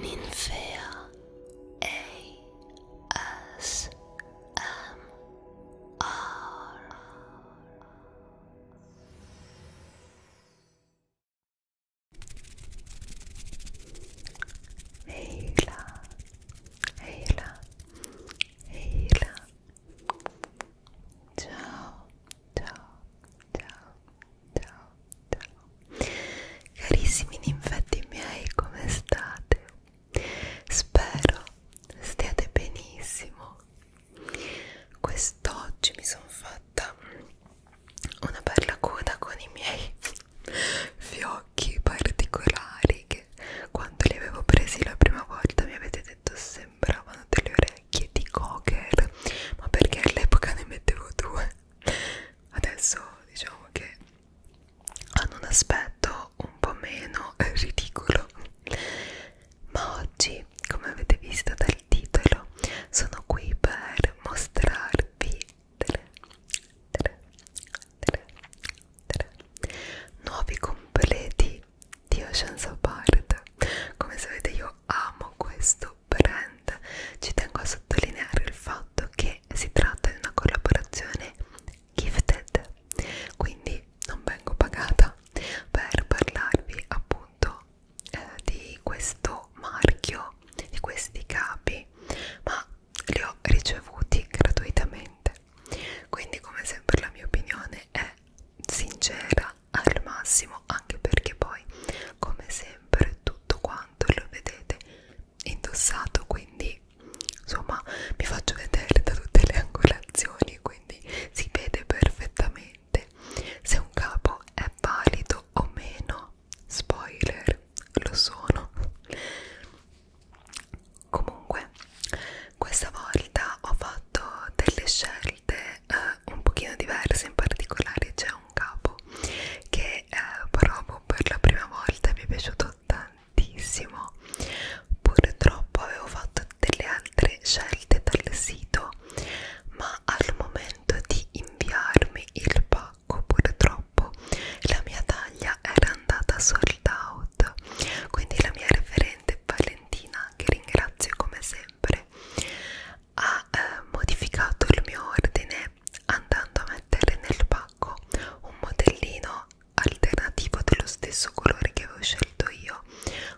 Ninfea ASMR Hela, hela, hela. Ciao, ciao, ciao. ciao ciao carissimi ninfetti miei come state? spero stiate benissimo quest'oggi mi sono fatta una bella coda con i miei fiocchi particolari che quando li avevo presi la prima volta mi avete detto sembravano delle orecchie di cocker ma perché all'epoca ne mettevo due adesso diciamo che hanno un aspetto un po' meno ridicolo ma oggi come avete visto dal titolo sono qui per mostrarvi delle, delle, delle, delle nuovi completi di Ocean's Apart come sapete io amo questo brand. Ci tengo a sottolineare il fatto che si tratta di una collaborazione gifted, quindi non vengo pagata per parlarvi appunto eh, di questo marchio, di questi capi, ma li ho ricevuti gratuitamente. Quindi come sempre la mia opinione è sincera al massimo, anche perché poi come sempre tutto quanto tanto e lo vedete indossato quindi insomma vi faccio vedere da tutte le angolazioni quindi si vede perfettamente se un capo è valido o meno spoiler lo sono comunque questa volta ho fatto delle scelte eh, un pochino diverse in particolare c'è un capo che che eh, provo per la prima volta e mi è piaciuto tantissimo purtroppo avevo fatto delle altre scelte dal sito ma al momento di inviarmi il pacco purtroppo la mia taglia era andata sold out quindi la mia referente Valentina che ringrazio come sempre ha eh, modificato il mio ordine andando a mettere nel pacco un modellino alternativo dello stesso colore che avevo scelto io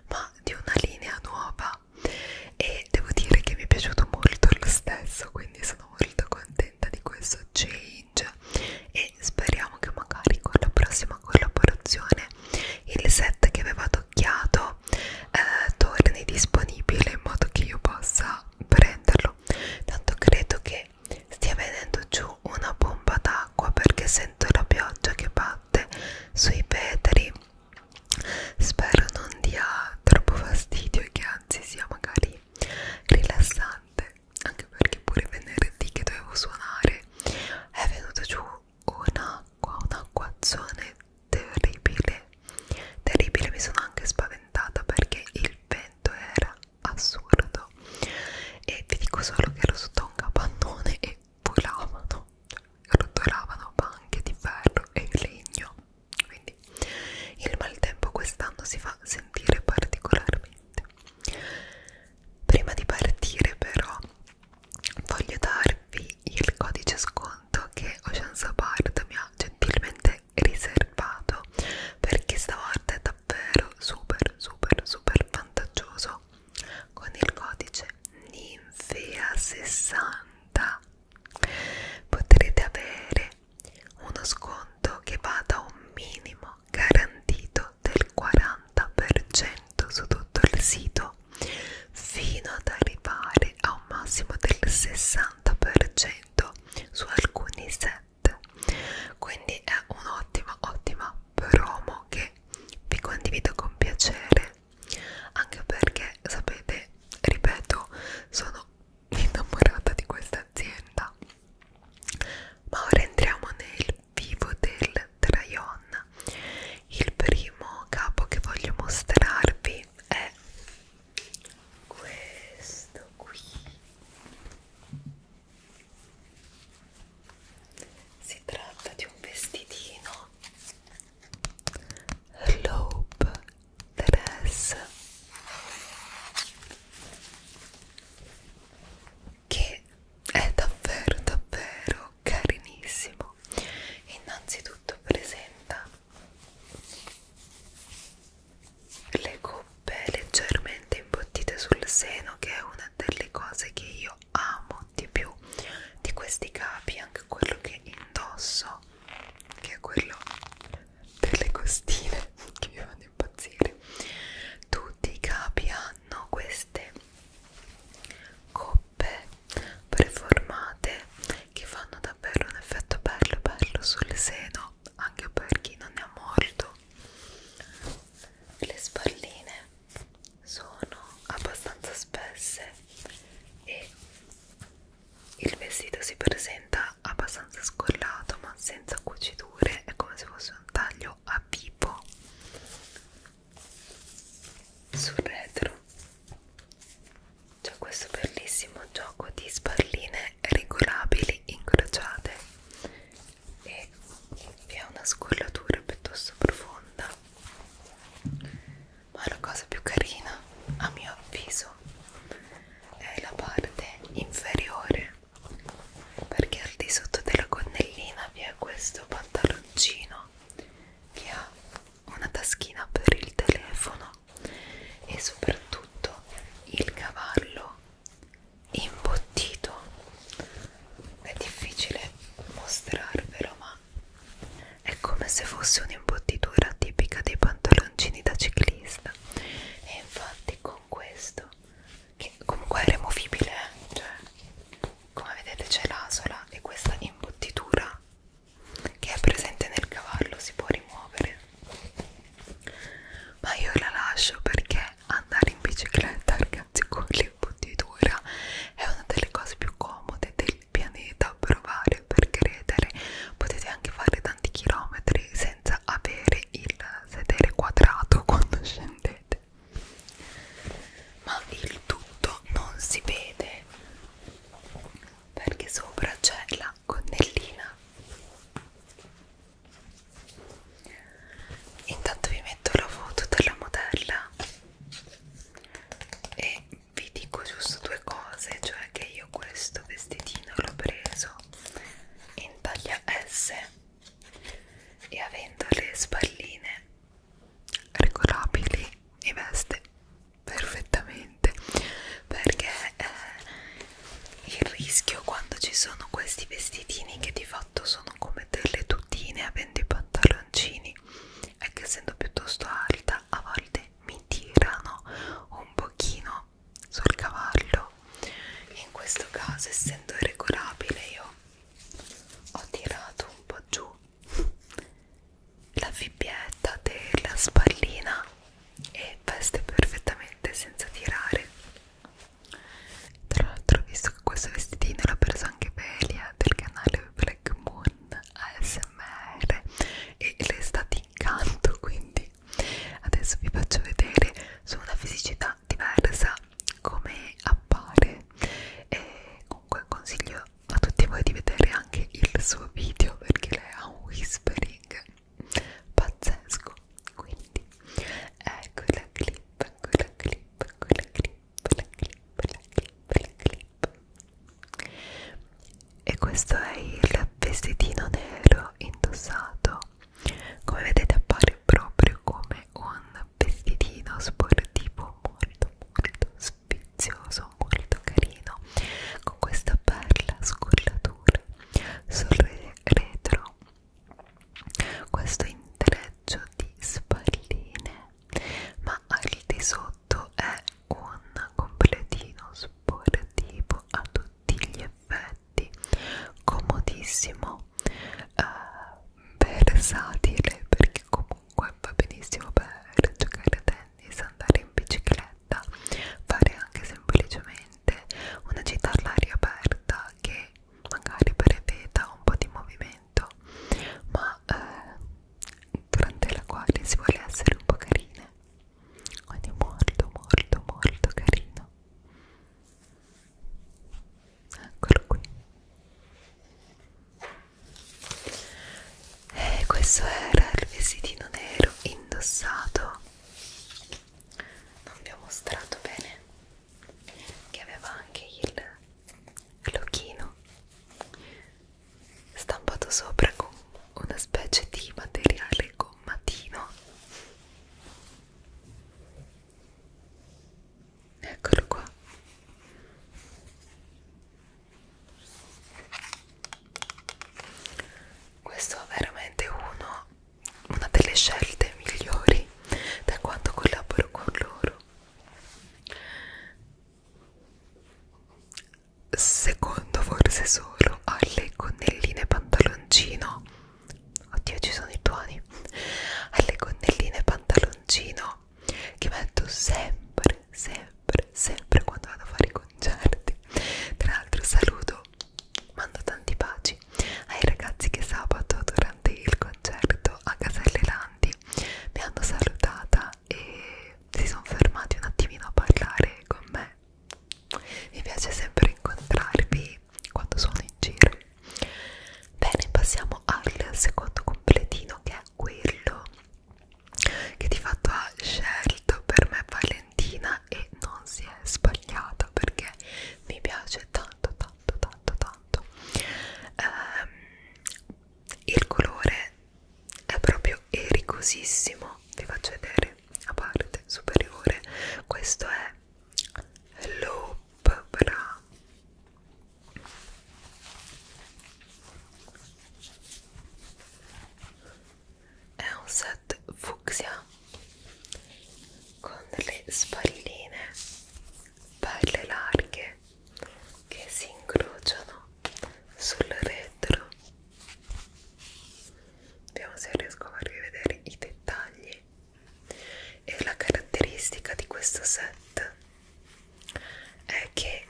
ma di una linea nuova e devo dire che mi è piaciuto molto lo stesso quindi sono molto contenta di questo change e speriamo che magari con la prossima collaborazione il set che aveva toccato eh, torni disponibile in modo che io possa prenderlo tanto credo che stia venendo giù una bomba d'acqua perché sento la pioggia che batte sui petri spero non dia troppo fastidio e che anzi sia magari rilassante anche perché pure venerdì che dovevo suonare è venuto giù un'acqua un acquazzone terribile terribile mi sono anche spaventata perché il vento era assurdo e vi dico solo che ero sotto un capannone e volavano rotolavano banche di ferro e legno quindi il maltempo quest'anno si fa sentire particolarmente prima di partire però voglio darvi il codice sconto che Ocean Sapart mi ha gentilmente riservato perché stavolta è davvero super super super vantaggioso con il codice ninfea60 potrete avere uno sconto che va da un minimo garantito del 40% su tutto il sito fino ad arrivare a un massimo del 60% abbonamento su alcuni set quindi è un'ottima ottima promo che vi condivido con piacere anche perché sapete ripeto sono innamorata di questa azienda ma ora entriamo nel vivo del Tryon il primo capo che voglio mostrarvi è questo qui si tratta di un vestitino lobe dress che è davvero davvero carinissimo innanzitutto presenta le coppe leggermente imbottite sul seno che è una delle cose che io amo di più di questi capi anche quello che indosso che è quello delle costine che mi fanno impazzire tutti i capi hanno queste coppe preformate che fanno davvero un effetto bello bello sul seno anche per chi non ne ha molto le spalline sono abbastanza spesse e il vestito si presenta abbastanza scollato ma senza cuciture è come se fosse un taglio a pipo sul retro c'è questo bellissimo gioco di sparline regolabili incrociate e vi è una scollatura piuttosto profonda ma la cosa più carina a mio avviso è la parte inferiore perché al di sotto della gonnellina vi è questo pantaloncino che ha una taschina per il telefono e soprattutto il cavallo imbottito è difficile mostrarvelo ma è come se fosse un'imbottitura tipica dei pantaloncini da ciclista e infatti con questo che comunque è removibile eh? cioè come vedete c'è l'asola e questa imbottitura che è presente nel cavallo si può rimuovere ma io la lascio perché andare in bicicletta ragazzi con l'imbottitura è una delle cose più comode del pianeta provare per credere potete anche fare tanti chilometri senza avere il sedere quadrato quando scendete ma il tutto non si vede perché sopra c'è la una gonnellina intanto vi metto la foto della modella e vi dico giusto due cose cioè che io questo vestitino l'ho preso in taglia S e avendo le spalline regolabili mi veste perfettamente perché eh, il rischio quando ci sono questi vestitini che di fatto sono come delle tutine avendo i pantaloncini è che essendo piuttosto alta a volte mi tirano un pochino sul cavallo in questo caso essendo regolabile io ho tirato un po' giù la fibbietta della spallina e veste perfettamente senza tirare tra l'altro visto che questo vestitino l'ha preso anche Velia del canale Black Moon ASMR e le è stato incanto quindi adesso vi faccio vedere su una fisicità diversa come appare e comunque consiglio a tutti voi di vedere anche il suo video perché lei ha un whispering pazzesco quindi ecco la clip quella ecco clip quella ecco clip la clip la clip la clip e questo è il vestitino nero indossato come vedete appare proprio come un vestitino sportivo molto molto spizioso molto carino con questa bella scollatura colore sul re retro questo intreccio di spalline ma al di sotto è un completino sportivo a tutti gli effetti comodissimo eh, versatile perché comunque va benissimo per giocare a tennis tennis, andare in bicicletta, fare anche semplicemente una gita all'aria aperta che magari preveda un po' di movimento, ma eh, durante la quale si vuole essere un po' carine. Quindi molto molto molto carino. Eccolo qui. E eh, questo era il vestitino nero indossato non vi ho mostrato bene che aveva anche il glocchino stampato sopra con una specie di materiale gommatino eccolo qua questo è veramente uno, una delle scelte migliori da quando collaboro con loro secondo forse solo alle gonnelline pantaloncino oddio ci sono i tuoni alle gonnelline pantaloncino che metto sempre sempre sempre quando vado a fare i concerti tra l'altro saluto mando tanti baci ai ragazzi che sabato durante il concerto a Caselle Landi mi hanno salutata e si sono fermati un attimino a parlare con me mi piace sempre incontrarvi quando sono in giro bene passiamo al secondo completino che è quello che di fatto ha scelto per me Valentina persona e non si è sbagliata perché mi piace tanto tanto tanto tanto ehm, il colore è proprio ericosissimo vi faccio vedere a parte superiore questo è Loop Bra è un set fucsia con le spalline belle larghe che si incrociano sul retro vediamo se riesco a farvi vedere i dettagli e la caratteristica di questo set è che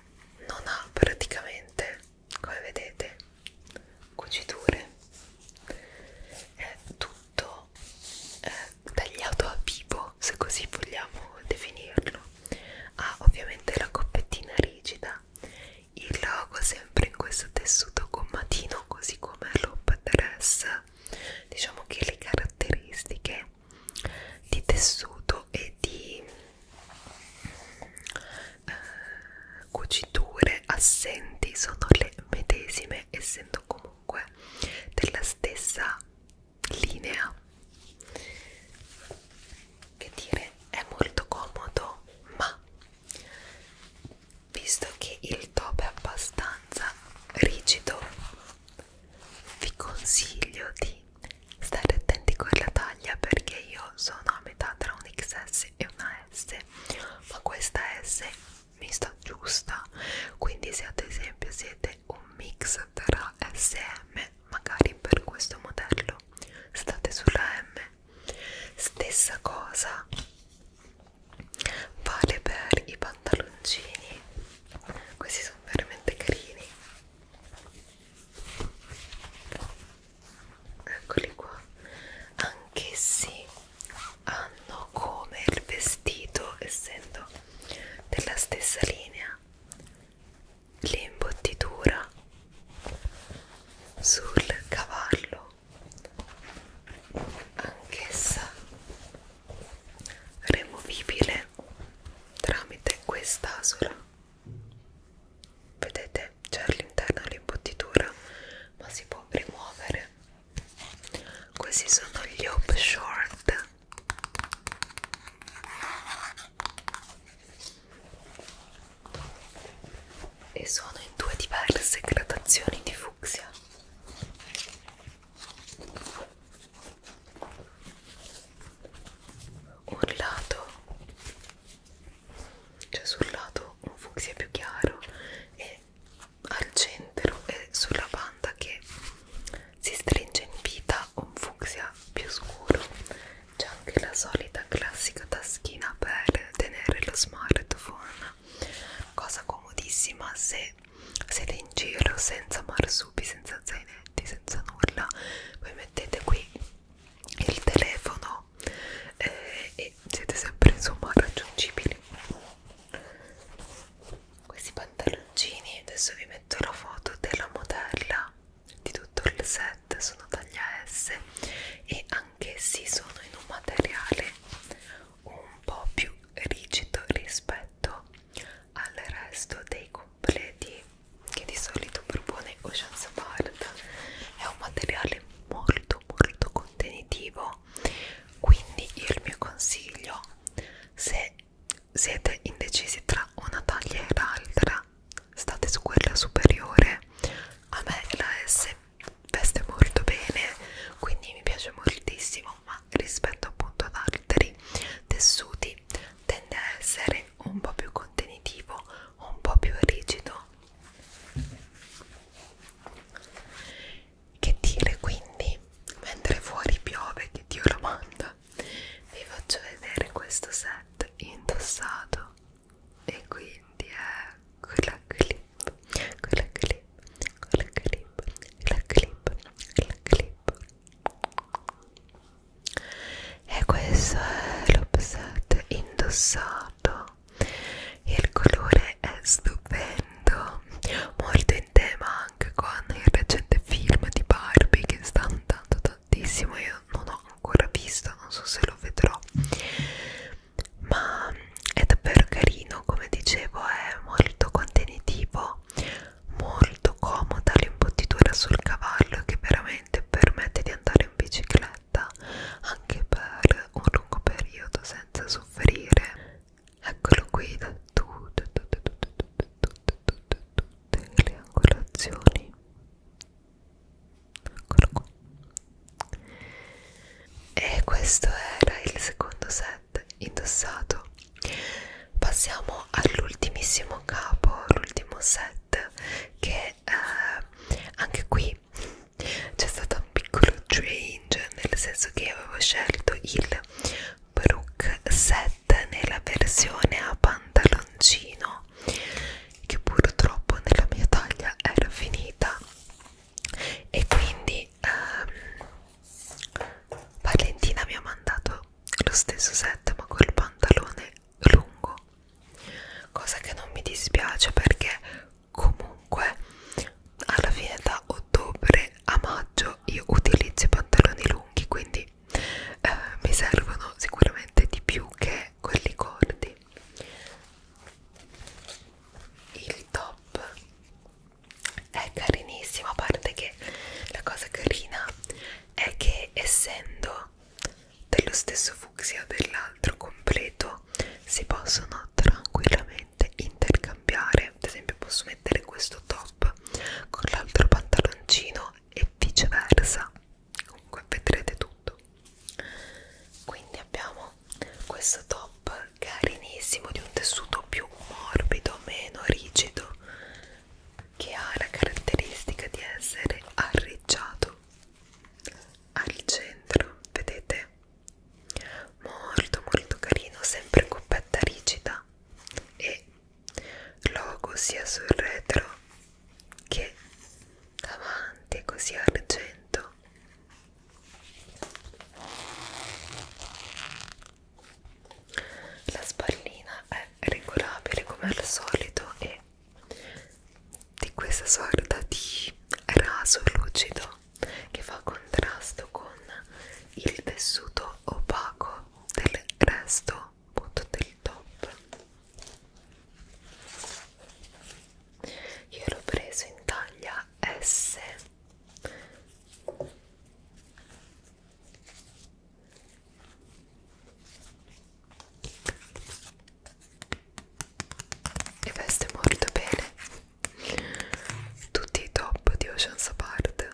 non ha praticamente come vedete cuciture è tutto eh, tagliato a vivo se così vogliamo definirlo ha ovviamente la coppettina rigida il logo sempre in questo tessuto gommatino così come l'op dress diciamo che le caratteristiche di tessuto e di eh, cuciture assenti sono le medesime essendo comunque della stessa linea che dire è molto comodo ma visto che il top è abbastanza rigido vi consiglio di stare attenti con la taglia perché io sono a metà tra un XS e una una S ma questa S mi sta giusta quindi se ad esempio siete un mix tra S e M magari per questo modello state sulla M stessa cosa vale per i pantaloncini questi sono veramente carini eccoli qua anch'essi hanno come il vestito essendo della stessa linea l'imbottitura sul cavallo anch'essa removibile tramite quest'asola vedete c'è all'interno dell'imbottitura ma si può rimuovere questi sono gli hoop short e sono in due diverse gradazioni di fucsia un lato cioè sul lato un fucsia più chiaro e al centro e sulla banda che si stringe in vita un fucsia più scuro c'è anche la solita classica taschina per tenere lo smartphone cosa comodissima se siete in giro senza marsupi senza zainetti senza nulla voi mettete qui il telefono eh, e siete sempre insomma raggiungibili questi pantaloncini adesso vi metto la foto della modella di tutto il set sono taglia S e anch'essi sono in un materiale un po' più rigido rispetto al resto dei completi che di solito propone Ocean Smart è un materiale molto molto contenitivo quindi io il mio consiglio se siete indecisi tra una taglia e l'altra state su quella superiore a me la S veste molto bene quindi mi piace moltissimo ma rispetto appunto ad altri tessuti tende a essere un po' più contenitivo un po' più rigido che dire quindi? Mentre fuori piove, che Dio lo manda, vi faccio vedere questo set indossato e quindi è quella clip, quella clip, quella clip, quella clip, quella clip. E questo è l'obset indossato fatto e il colore è stupendo molto in tema anche con il recente film di Barbie che sta andando tantissimo io non ho ancora visto non so se lo vedrò ma è davvero carino come dicevo è molto contenitivo molto comoda l'imbottitura sul cavallo che veramente permette di andare in bicicletta diretta anche per un lungo periodo senza soffrire eccolo qui da tutte tutte tutte tutte tutte tutte tutte le angolazioni eccolo qua e questo era il secondo set indossato passiamo all'ultimissimo capo l'ultimo set che eh, anche qui c'è stato un piccolo change nel senso che avevo scelto il Brook set nella versione a pantaloncino che purtroppo nella mia taglia era finita e quindi ehm, Valentina mi ha mandato lo stesso set ma col pantalone lungo cosa che non mi dispiace perché comunque alla fine da ottobre a maggio io utilizzo i pantaloni lunghi quindi eh, mi servono sicuramente di più che quelli corti il top è carinissimo a parte che la cosa carina è che essendo dello stesso fucsia dell'altro completo si possono tranquillamente intercambiare ad esempio posso mettere questo top con l'altro pantaloncino e viceversa comunque vedrete tutto quindi abbiamo questo top carinissimo di un tessuto più morbido meno rigido che ha la caratteristica di essere arreggiato al centro vedete molto molto carino sempre coppetta rigida e logo sia sul retro che davanti così argento la spallina è regolabile come al solito e di questa sorta di raso lucido che fa contrasto con il tessuto opaco del resto appunto del top io l'ho preso in taglia S e veste molto bene tutti i top di Ocean's Apart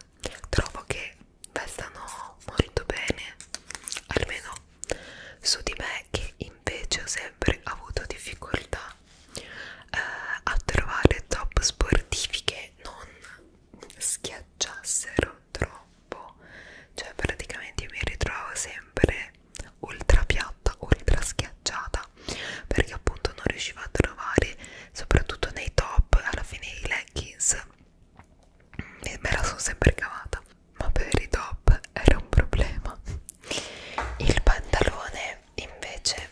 trovo che vestano molto bene almeno su di me che invece ho sempre avuto difficoltà eh, a trovare top sportivi che non schiacciassero troppo cioè praticamente mi ritrovo sempre ultra piatta, ultra schiacciata perché appunto non riusciva a trovare soprattutto nei top alla fine i leggings e me la sono sempre cavata ma per i top era un problema il pantalone invece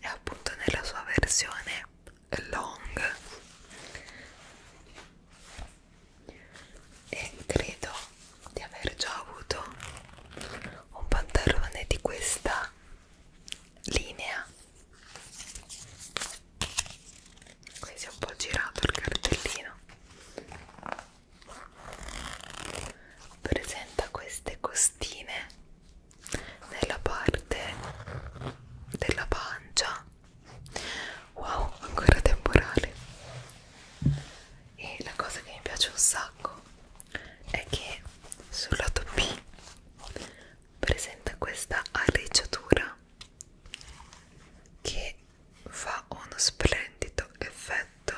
è appunto nella sua versione long e credo di aver già avuto un pantalone di questa linea qui si è un po' girato il cartellino presenta queste costine nella parte della pancia wow ancora temporale e la cosa che mi piace un sacco è che sul lato B presenta questa arricciatura che fa uno splendido effetto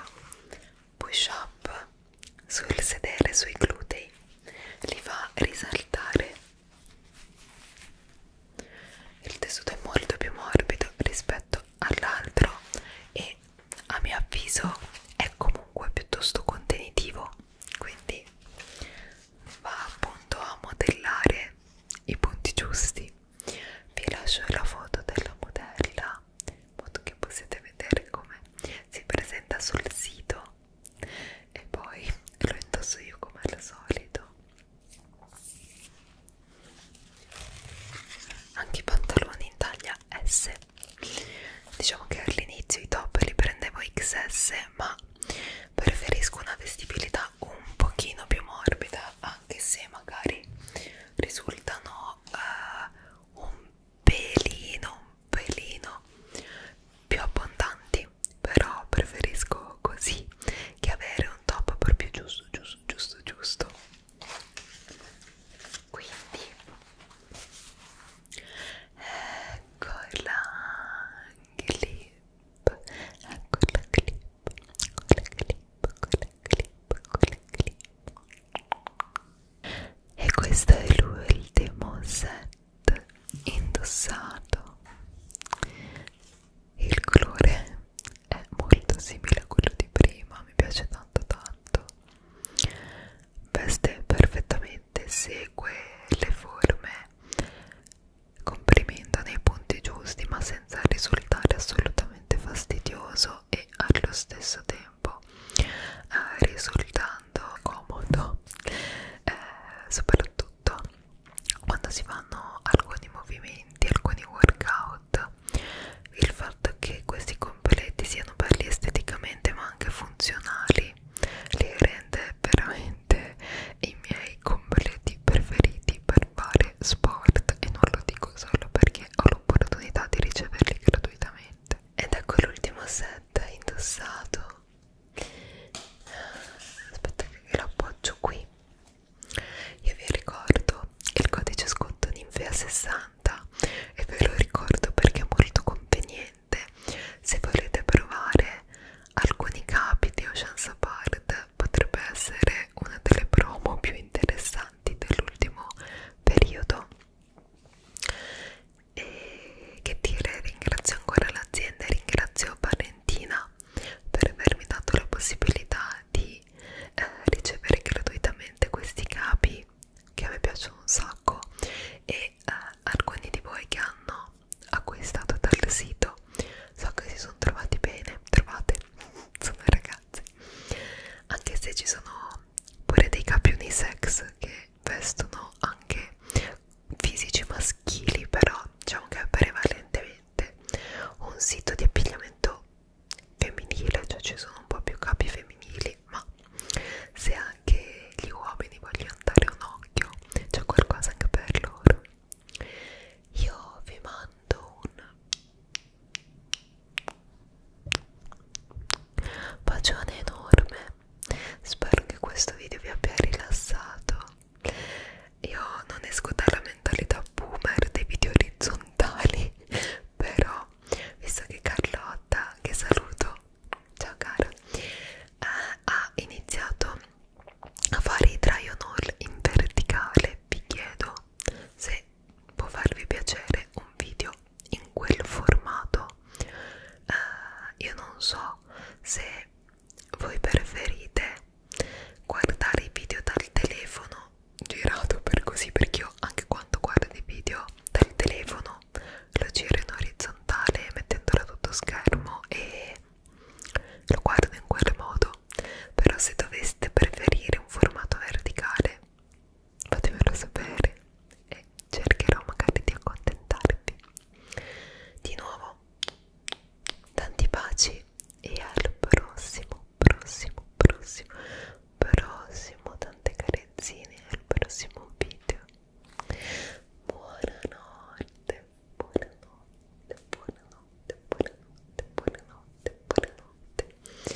push up sul sedere, sui glutei li fa risaltare il tessuto è molto più morbido rispetto all'altro e a mio avviso è comunque piuttosto contenitivo quindi va appunto a modellare i punti giusti vi lascio la foto della modella in modo che possiate vedere come si presenta sul sito e poi lo indosso io come al solito anche i pantaloni in taglia S diciamo che all'inizio i top li prendevo XS ma preferisco una vestibilità un pochino più morbida anche se magari risultano uh, un pelino un pelino più abbondanti però preferisco così che avere un top proprio giusto giusto giusto giusto quindi ecco la clip ecco la clip ecco la clip ecco la clip ecco la clip e questo è l'ultimo set indossato il colore è molto simile a quello di prima, mi piace tanto tanto. Veste perfettamente, segue le forme comprimendo nei punti giusti ma senza risultare assolutamente fastidioso e allo stesso tempo eh, risultando comodo eh, soprattutto quando si fanno alcuni movimenti alcuni workout rotta il fatto che questi completti siano belli esteticamente ma anche funzionali li rende veramente i miei completi preferiti per fare sport e non lo dico solo perché ho l'opportunità di riceverli gratuitamente ed ecco l'ultimo set indossato aspetta che l'appoggio qui io vi ricordo il codice sconto Ninfea60 e ve lo ricordo perché è molto conveniente. Se volete provare alcuni capi di Ocean Apart potrebbe essere una delle promo più interessanti dell'ultimo periodo. E che dire, ringrazio ancora l'azienda, ringrazio Valentina per avermi dato la possibilità di eh, ricevere gratuitamente questi capi che a me piacciono un sacco e eh, alcuni di voi che hanno acquistato dal sito so che si sono trovati bene trovate sono ragazzi anche se ci sono pure dei capi unisex che vestono anche fisici maschili però diciamo che è prevalentemente un sito di appigliamento femminile, cioè ci sono un po' più capi femminili, ma se anche gli uomini vogliono dare un occhio, c'è qualcosa anche per loro. Io vi mando un bacione enorme, spero che questo video vi abbia rilassato. Io non esco dalla mentalità boomer dei video orizzontali però visto che Carlotta che saluto ciao cara eh, ha iniziato a fare i try on all in verticale vi chiedo se può farvi piacere un video in quel formato eh, io non so se voi preferite guardare i video dal telefono girato per così perché io anche quando guardo i video dal telefono lo giro in orizzontale mettendolo a tutto schermo e lo guardo in quel modo però se doveste preferire un formato verticale fatemelo sapere e cercherò magari di accontentarvi di nuovo tanti baci e al prossimo prossimo prossimo prossimo, tante carezzine al prossimo video. Buonanotte, buonanotte, buonanotte, buonanotte, buonanotte, buonanotte. Buonanotte.